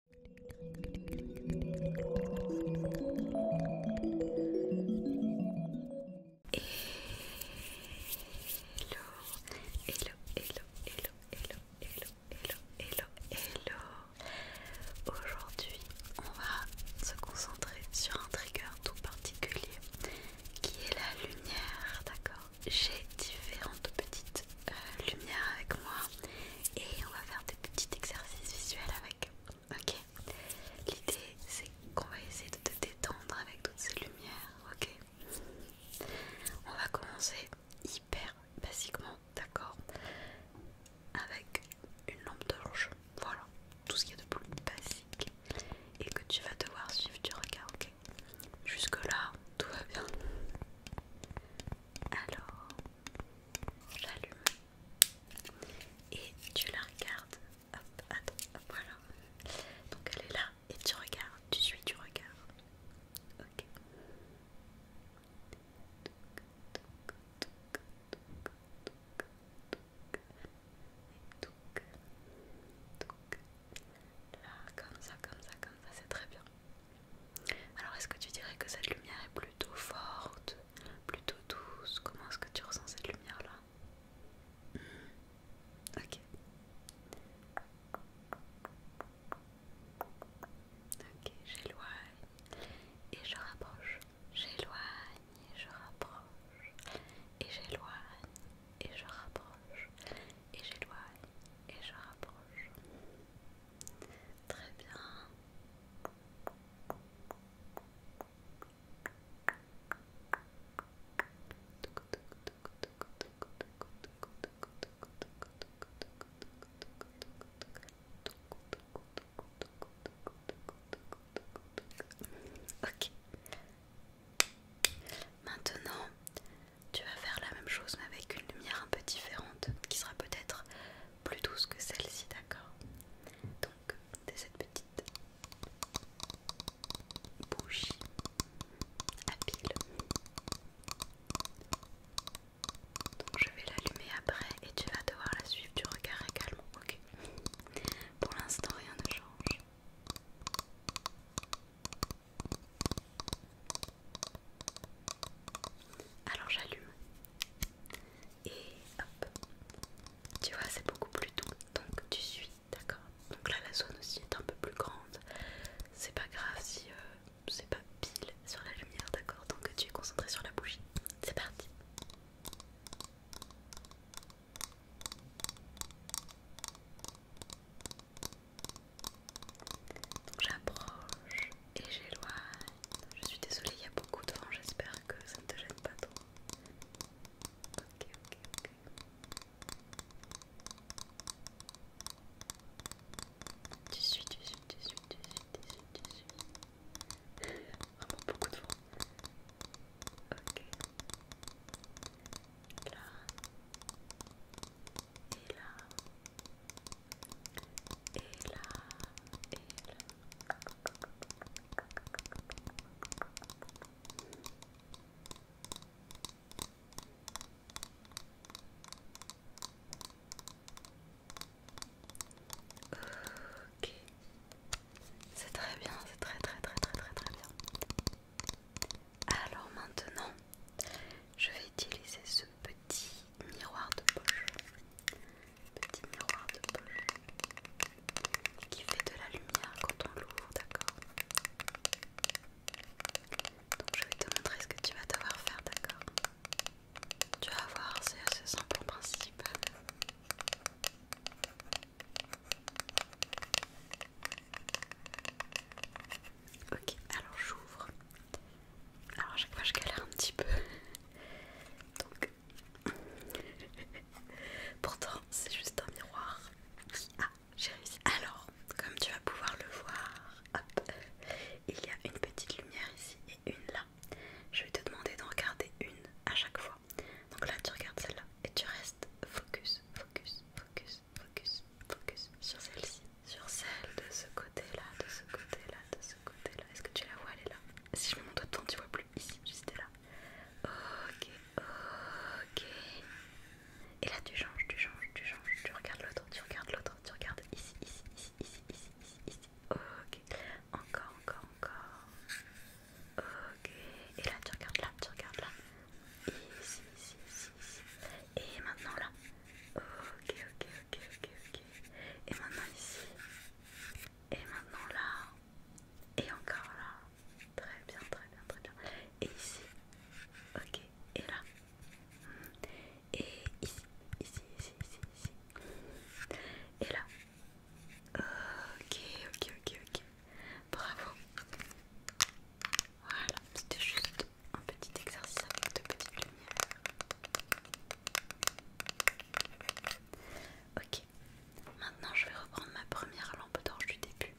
hello, hello, hello, hello, hello, hello, hello. Aujourd'hui, on va se concentrer sur un trigger tout particulier qui est la lumière, d'accord J'ai différentes petites euh, lumières avec moi et on va faire des petits exercices visuels avec. Ok L'idée c'est qu'on va essayer de te détendre avec toutes ces lumières. Ok On va commencer hyper basiquement, d'accord Avec une lampe de Voilà, tout ce qui est de plus basique et que tu vas devoir suivre du regard. Ok Jusque là, tout va bien. Alors, j'allume et tu la regardes. Hop, attends, voilà. Donc elle est là et tu regardes, tu suis tu regardes, Ok. donc, là, comme ça, comme ça, comme ça, c'est très bien. Alors est-ce que tu dirais que cette lumière est plutôt forte, plutôt douce Comment est-ce que tu ressens cette lumière-là hmm. Ok. Ok, j'éloigne et je rapproche. J'éloigne et je rapproche. Et j'éloigne et je rapproche. Et j'éloigne et je rapproche. Très bien. Ok. Maintenant, tu vas faire la même chose mais avec une lumière un peu différente qui sera peut-être plus douce que celle-ci, d'accord Donc, de cette petite bougie à pile. Donc je vais l'allumer après et tu vas devoir la suivre du regard également, ok Pour l'instant rien ne change. Alors j'allume et hop, tu vois c'est beaucoup plus doux donc tu suis, d'accord Donc là la zone aussi est un peu plus grande, c'est pas grave si euh, c'est pas pile sur la lumière, d'accord Donc tu es concentré sur la bougie, c'est parti donc j'approche et j'éloigne. Je suis désolée, il y a beaucoup de vent, j'espère que ça ne te gêne pas trop. Ok, ok, ok. Tu suis, tu suis, tu suis, tu suis, tu suis, tu suis. Vraiment beaucoup de vent. Ok. Là et là, et là, et là. c'est très bien, c'est très très très très très très bien. Alors maintenant, je vais utiliser ce petit miroir de poche. Petit miroir de poche qui fait de la lumière quand on l'ouvre, d'accord Donc je vais te montrer ce que tu vas devoir faire, d'accord Tu vas voir, c'est assez simple en principe. Ok, alors j'ouvre. Alors à chaque fois je galère un petit peu. Donc... Pourtant c'est juste un miroir. Ah, j'ai réussi. Alors, comme tu vas pouvoir le voir, hop, il y a une petite lumière ici et une là. Je vais te demander d'en regarder une à chaque fois. Donc là tu regardes celle-là et tu restes focus, focus, focus, focus, focus sur celle-ci, sur celle de ce côté-là, de ce côté-là, de ce côté-là. Est-ce que tu la vois Elle est là. Si je me montre doigt dedans, tu vois plus ici, juste là. Ok, ok. Et là, tu changes, tu changes, tu changes. Tu regardes l'autre, tu regardes l'autre, tu regardes ici, ici, ici, ici, ici, ici, ici. Ok, encore, encore, encore. Ok. Et là, tu regardes là, tu regardes là. Et ici, ici, Et maintenant là. Ok, ok, ok, ok, ok. Et maintenant ici. Et maintenant là. Et encore là. Très bien, très bien, très bien. Et ici. Ok. Et là. Et ici, ici, ici, ici, ici. Et là. Ok, ok, ok, ok. Bravo. Voilà, c'était juste un petit exercice avec deux petites lumières. Ok, maintenant je vais reprendre ma première lampe d'orge du début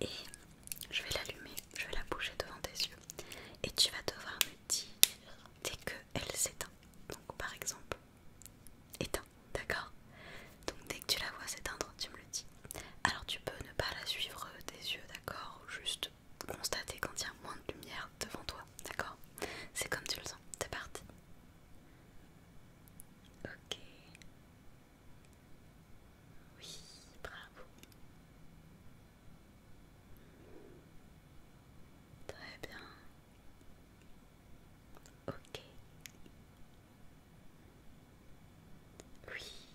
et je vais l'allumer, je vais la bouger devant tes yeux et tu vas devoir me dire dès qu'elle s'éteint. Donc par exemple, éteint d'accord Donc dès que tu la vois s'éteindre, tu me le dis. Alors tu peux ne pas la suivre des euh, yeux, d'accord Ou Juste constater quand il y a moins de lumière devant toi, d'accord C'est comme tu le sens, c'est parti. Ok. Oui, bravo. Très bien. Ok. Oui.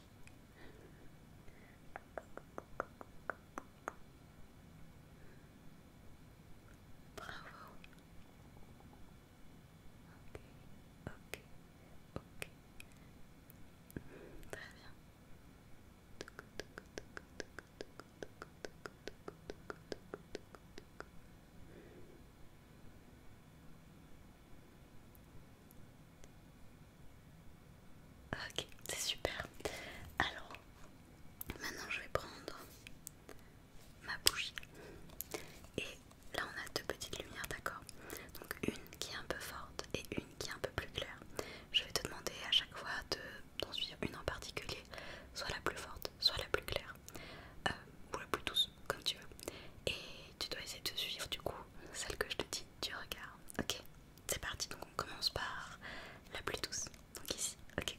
Bravo. Ok, ok, ok. Très bien. Très bien. Ok, c'est super. Alors, maintenant je vais prendre ma bougie. Et là on a deux petites lumières, d'accord Donc une qui est un peu forte et une qui est un peu plus claire. Je vais te demander à chaque fois d'en de, suivre une en particulier, soit la plus forte, soit la plus claire ou la plus douce, comme tu veux. Et tu dois essayer de suivre du coup celle que je te dis, tu regardes. Ok, c'est parti. Donc on commence par la plus douce Donc ici, ok.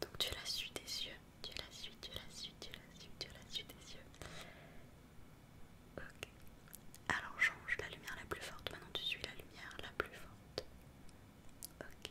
Donc tu la suis des yeux, tu la suis, tu la suis, tu la suis, tu la suis des yeux. Ok. Alors change la lumière la plus forte. Maintenant tu suis la lumière la plus forte. Ok.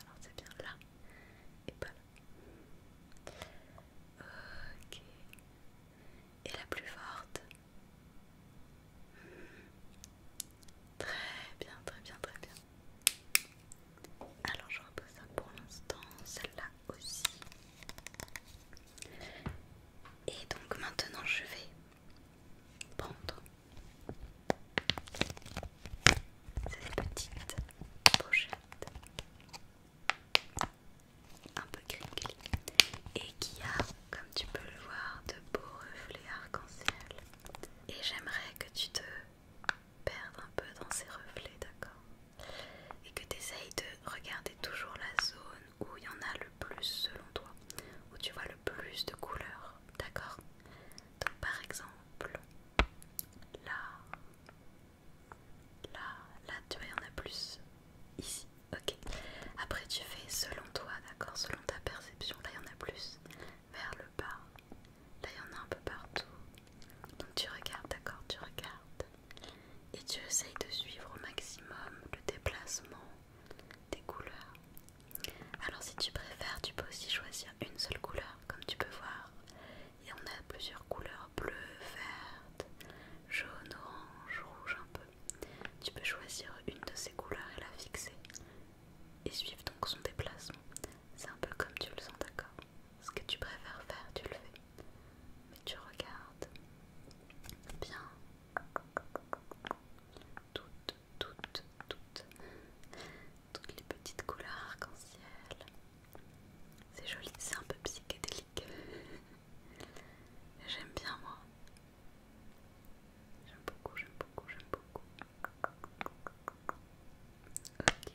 Alors c'est bien là et pas là. Ok. Et la plus forte. Très bien, très bien, très bien. Alors je repose ça pour l'instant, celle-là aussi. Et donc maintenant je vais prendre c'est des petites pochettes un peu crinkly et qui a, comme tu peux le voir, de beaux reflets arc-en-ciel. Et j'aimerais que tu te perdes un peu dans ces reflets, d'accord Et que tu essayes de regarder toujours la zone où il y en a le plus selon toi, où tu vois le plus de couleurs, d'accord donc par exemple, là, là, là, tu vois, il y en a plus ici. Ok. Après tu fais selon toi, d'accord, selon ta perception. Là, il y en a plus vers le bas. Là, il y en a un peu partout. Donc tu regardes, d'accord, tu regardes. Et tu essayes de suivre au maximum le déplacement des couleurs. Alors si tu préfères, tu peux aussi choisir une seule couleur, comme tu peux voir. Et on a plusieurs couleurs bleu, verte, jaune, orange, rouge un peu. Tu peux choisir une de ces couleurs et la fixer. Et suivre donc son déplacement. C'est un peu comme tu le sens, d'accord Ce que tu préfères faire, tu le fais. Mais tu regardes bien toutes toutes, toutes, toutes, les petites couleurs arc-en-ciel. C'est joli, c'est un peu psychédélique. J'aime bien moi. J'aime beaucoup, j'aime beaucoup, j'aime beaucoup. Ok.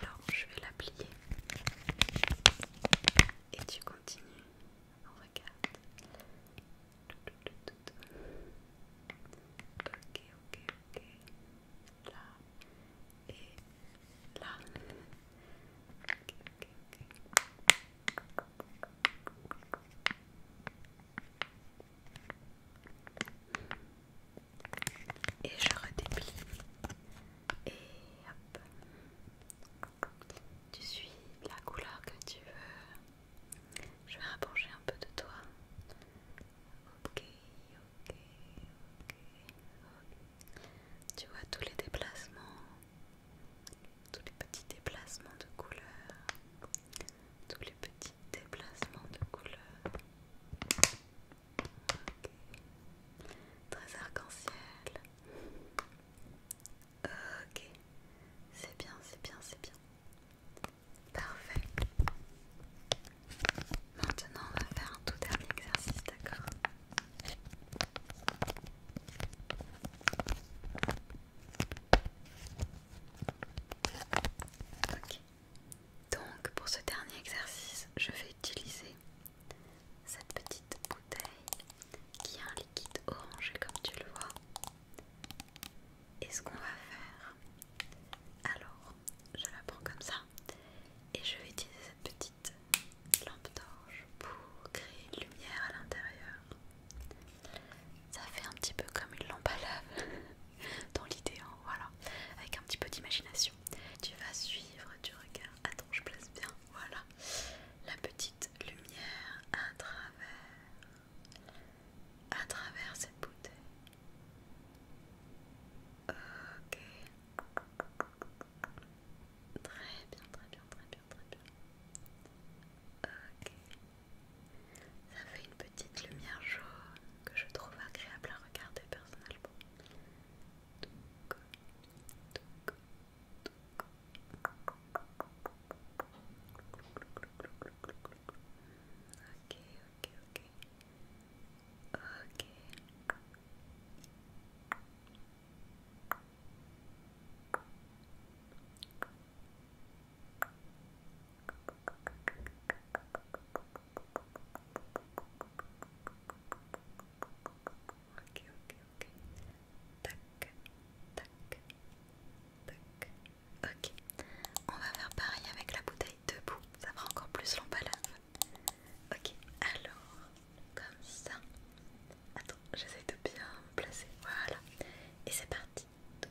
Alors je vais la plier et tu continues. Regarde. Ok, ok, ok. Là et là et je redéplie et hop tu suis la couleur que tu veux je vais rapprocher un peu de toi ok ok ok tu vois tous les déplacements tous les petits déplacements de couleur tous les petits déplacements de couleur Très arc-en-ciel. Ok. C'est bien, c'est bien, c'est bien. Parfait. Maintenant, on va faire un tout dernier exercice, d'accord Ok. Donc pour ce dernier exercice, je vais utiliser cette petite bouteille qui a un liquide orangé comme tu le vois. Et ce qu'on va faire, alors je la prends comme ça et je vais utiliser cette petite lampe d'orge pour créer une lumière à l'intérieur. Ça fait un petit peu comme une lampe à lave dans l'idéal, voilà, avec un petit peu d'imagination tu vas suivre du regard, attends je place bien, voilà, la petite lumière à travers, à travers cette bouteille. Ok. Très bien, très bien, très bien, très bien. Ok. Ça fait une petite lumière jaune que je trouve agréable à regarder personnellement. ok, ok. Ok. Ok, ok, ok. ok. Tac, tac, tac. Ok, on va faire pareil avec la bouteille debout, ça fera encore plus l'emballage. Ok, alors, comme ça. Attends, j'essaie de bien me placer. Voilà, et c'est parti. tout.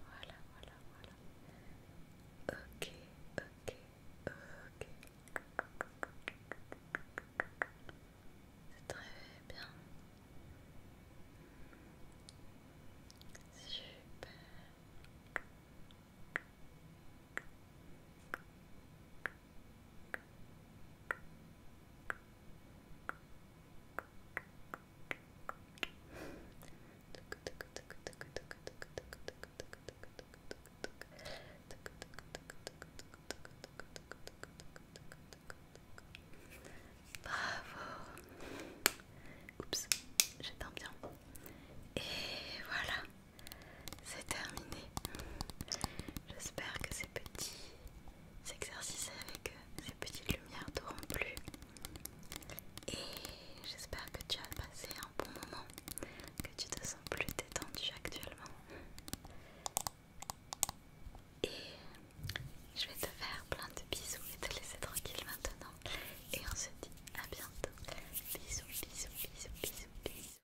Voilà, voilà, voilà. Ok, ok, ok. C'est très bien. Super. Bravo. Oups, bien. Et voilà, c'est terminé. J'espère que ces petits exercices avec ces petites lumières t'auront plu. Et j'espère que tu as passé un bon moment, que tu te sens plus détendu actuellement. Et je vais te faire plein de bisous et te laisser tranquille maintenant. Et on se dit à bientôt. Bisous, bisous, bisous, bisous, bisous.